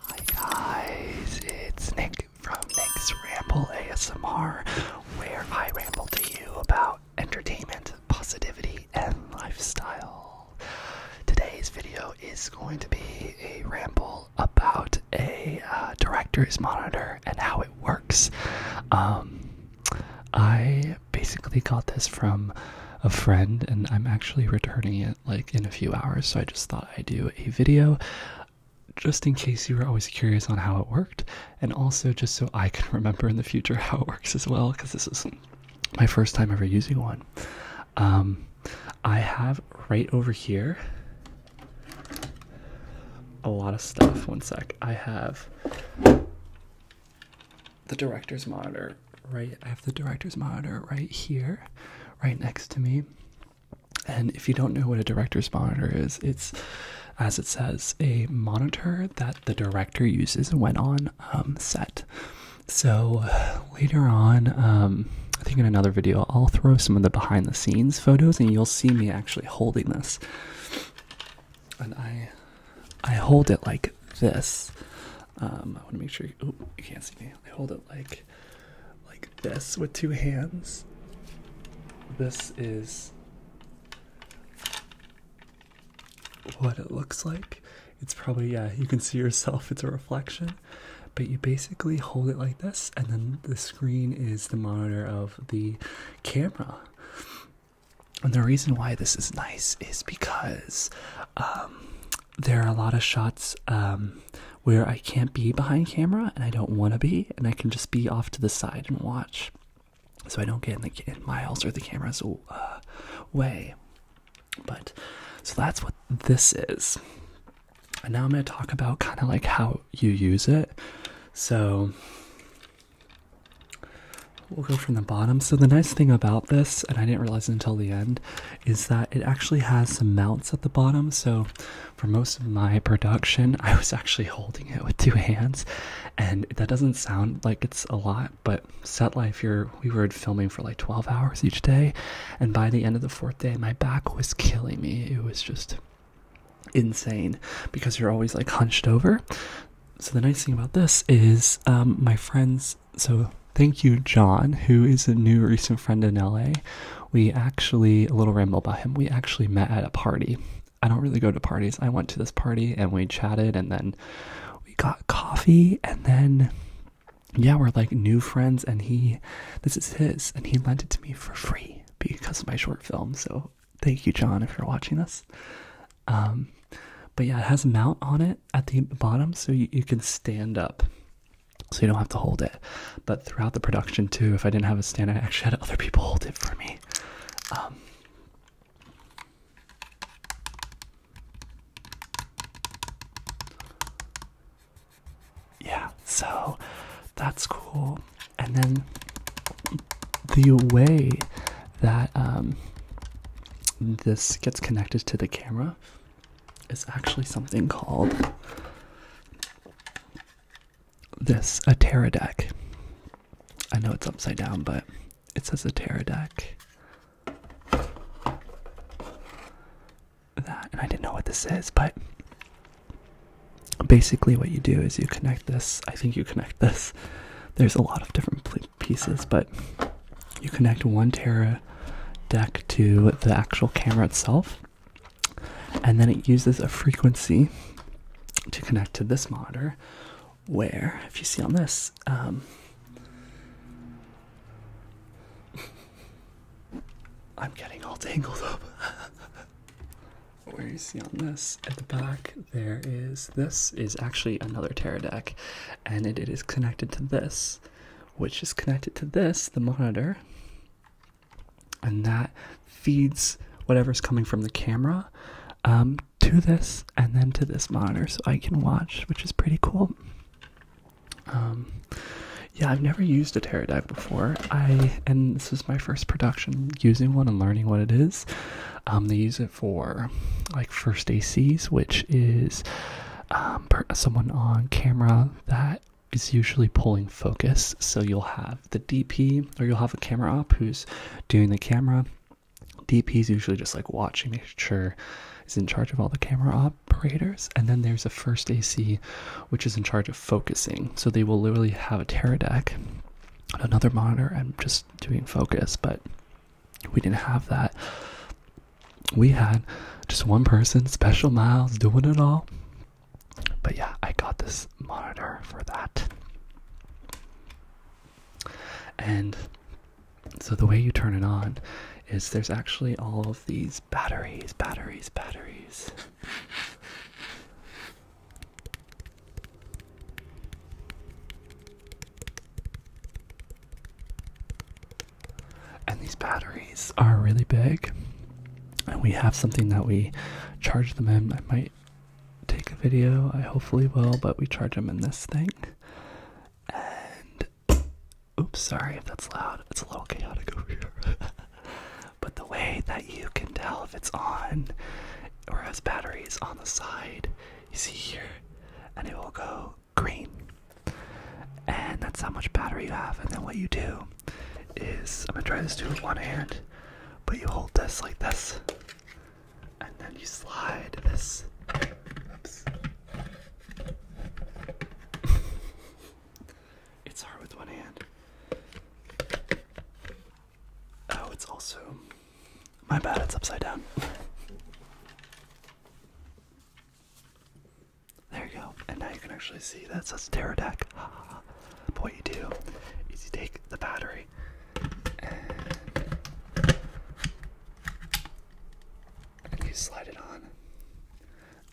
Hi guys, it's Nick from Nick's Ramble ASMR, where I ramble to you about entertainment, positivity, and lifestyle. Today's video is going to be a ramble about a uh, director's monitor and how it works. Um, I basically got this from a friend, and I'm actually returning it like in a few hours, so I just thought I'd do a video just in case you were always curious on how it worked, and also just so I can remember in the future how it works as well, because this is my first time ever using one. Um, I have right over here a lot of stuff. One sec. I have the director's monitor right. I have the director's monitor right here, right next to me. And if you don't know what a director's monitor is, it's, as it says, a monitor that the director uses when on um, set. So later on, um, I think in another video, I'll throw some of the behind the scenes photos and you'll see me actually holding this. And I, I hold it like this. Um, I want to make sure you, you can't see me. hold it like like this with two hands. This is what it looks like. It's probably yeah, you can see yourself, it's a reflection. But you basically hold it like this, and then the screen is the monitor of the camera. And the reason why this is nice is because um, there are a lot of shots um, where I can't be behind camera and I don't want to be, and I can just be off to the side and watch, so I don't get in the in miles or the camera's uh, way. But so that's what this is. And now I'm going to talk about kind of like how you use it. So we'll go from the bottom. So the nice thing about this, and I didn't realize until the end, is that it actually has some mounts at the bottom. So, for most of my production, I was actually holding it with two hands, and that doesn't sound like it's a lot, but set life, you're, we were filming for like 12 hours each day, and by the end of the fourth day, my back was killing me. It was just insane because you're always like hunched over. So, the nice thing about this is um, my friends, so Thank you, John, who is a new recent friend in LA. We actually, a little ramble about him, we actually met at a party. I don't really go to parties. I went to this party and we chatted and then we got coffee and then, yeah, we're like new friends. And he, this is his, and he lent it to me for free because of my short film. So thank you, John, if you're watching this. Um, but yeah, it has a mount on it at the bottom so you, you can stand up so you don't have to hold it. But throughout the production too, if I didn't have a stand, I actually had other people hold it for me. Um, yeah, so that's cool. And then the way that um, this gets connected to the camera is actually something called this a Terra deck. I know it's upside down, but it says a Terra deck. That and I didn't know what this is, but basically what you do is you connect this. I think you connect this. There's a lot of different pieces, but you connect one Terra deck to the actual camera itself. And then it uses a frequency to connect to this monitor, where, if you see on this, um, I'm getting all tangled up. Where you see on this at the back, there is this is actually another Terra deck, and it is connected to this, which is connected to this, the monitor, and that feeds whatever's coming from the camera um, to this and then to this monitor so I can watch, which is pretty cool. Um, yeah, I've never used a Teradive before. I and this is my first production using one and learning what it is. Um, they use it for like first ACs, which is someone on camera that is usually pulling focus. So you'll have the DP or you'll have a camera op who's doing the camera. DP is usually just like watching, making sure is in charge of all the camera operators. And then there's a first AC, which is in charge of focusing. So they will literally have a Terra deck, another monitor, and just doing focus. But we didn't have that we had just one person, special miles, doing it all. But yeah, I got this monitor for that. And so the way you turn it on is there's actually all of these batteries, batteries, batteries. And these batteries are really big. And we have something that we charge them in. I might take a video, I hopefully will, but we charge them in this thing. And oops, sorry if that's loud. It's a little chaotic over here. but the way that you can tell if it's on or has batteries on the side, you see here, and it will go green and that's how much battery you have. And then what you do is I'm gonna try this too with one hand, but you hold this like this, and then you slide this. it's hard with one hand. Oh, it's also. My bad, it's upside down. There you go. And now you can actually see that's a Terra Deck. but what you do is you take the battery you slide it on.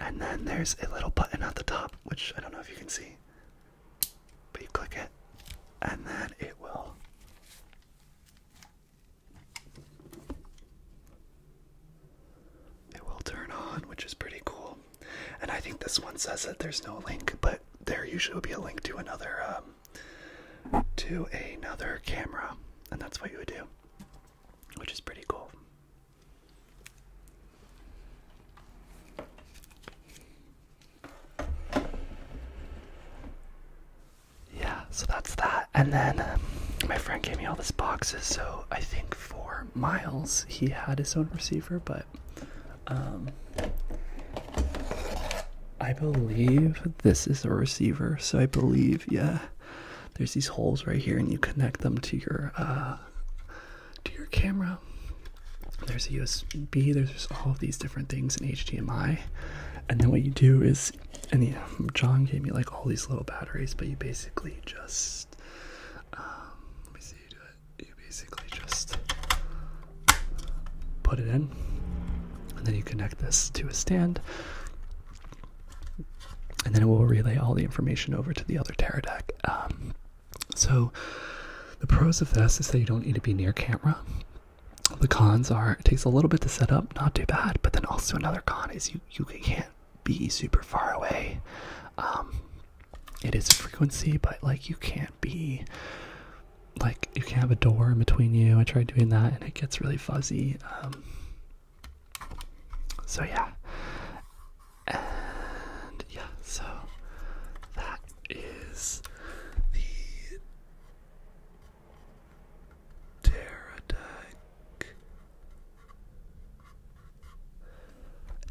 And then there's a little button at the top, which I don't know if you can see. But you click it, and then it will it will turn on, which is pretty cool. And I think this one says that there's no link, but there usually will be a link to another um, to another camera, and that's what you would do, which is pretty cool. Yeah, so that's that. And then um, my friend gave me all these boxes, so I think for Miles, he had his own receiver, but um, I believe this is a receiver. So I believe, yeah, there's these holes right here, and you connect them to your uh, to your camera. There's a USB. There's just all of these different things in HDMI, and then what you do is, and John gave me like all these little batteries, but you basically just um, let me see you do it. You basically just put it in, and then you connect this to a stand, and then it will relay all the information over to the other Terra um, so the pros of this is that you don't need to be near camera. The cons are it takes a little bit to set up, not too bad, but then also another con is you you can't be super far away. Um, it is frequency, but like you can't be like you can't have a door in between you. I tried doing that, and it gets really fuzzy. Um, so yeah, and yeah, so that is the pterodactyl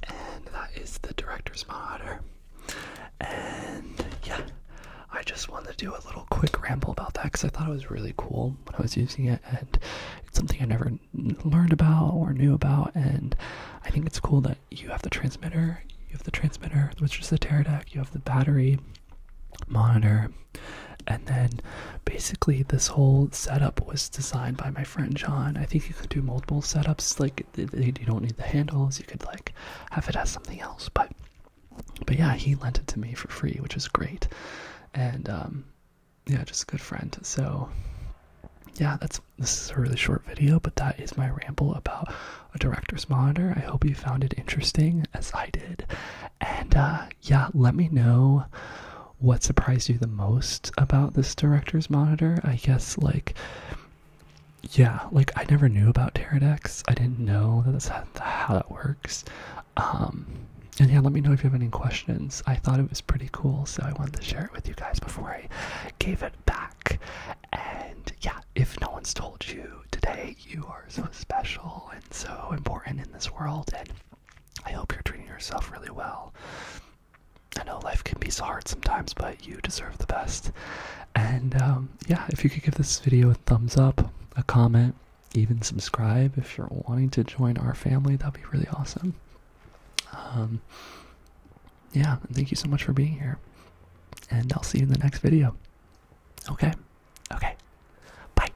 and that is the director's monitor. And yeah, I just wanted to do a little quick ramble about that because I thought it was really cool when I was using it, and it's something I never learned about or knew about. And I think it's cool that you have the transmitter, you have the transmitter, which is the deck, you have the battery monitor, and then basically, this whole setup was designed by my friend John. I think you could do multiple setups, like you don't need the handles, you could like have it as something else. But but yeah, he lent it to me for free, which was great. And um, yeah, just a good friend. So yeah, that's this is a really short video, but that is my ramble about a director's monitor. I hope you found it interesting as I did. And uh, yeah, let me know what surprised you the most about this director's monitor. I guess, like, yeah, like I never knew about Teradex. I didn't know that that's how, how that works. Um, and yeah, let me know if you have any questions. I thought it was pretty cool, so I wanted to share it with you guys before I gave it back. And yeah, if no one's told you today, you are so special and so important in this world. And I hope you're treating yourself really well. I know life can be so hard sometimes, but you deserve the best. And um, yeah, if you could give this video a thumbs up, a comment, even subscribe if you're wanting to join our family, that'd be really awesome. Um, yeah, thank you so much for being here. And I'll see you in the next video. Okay. Okay. Bye.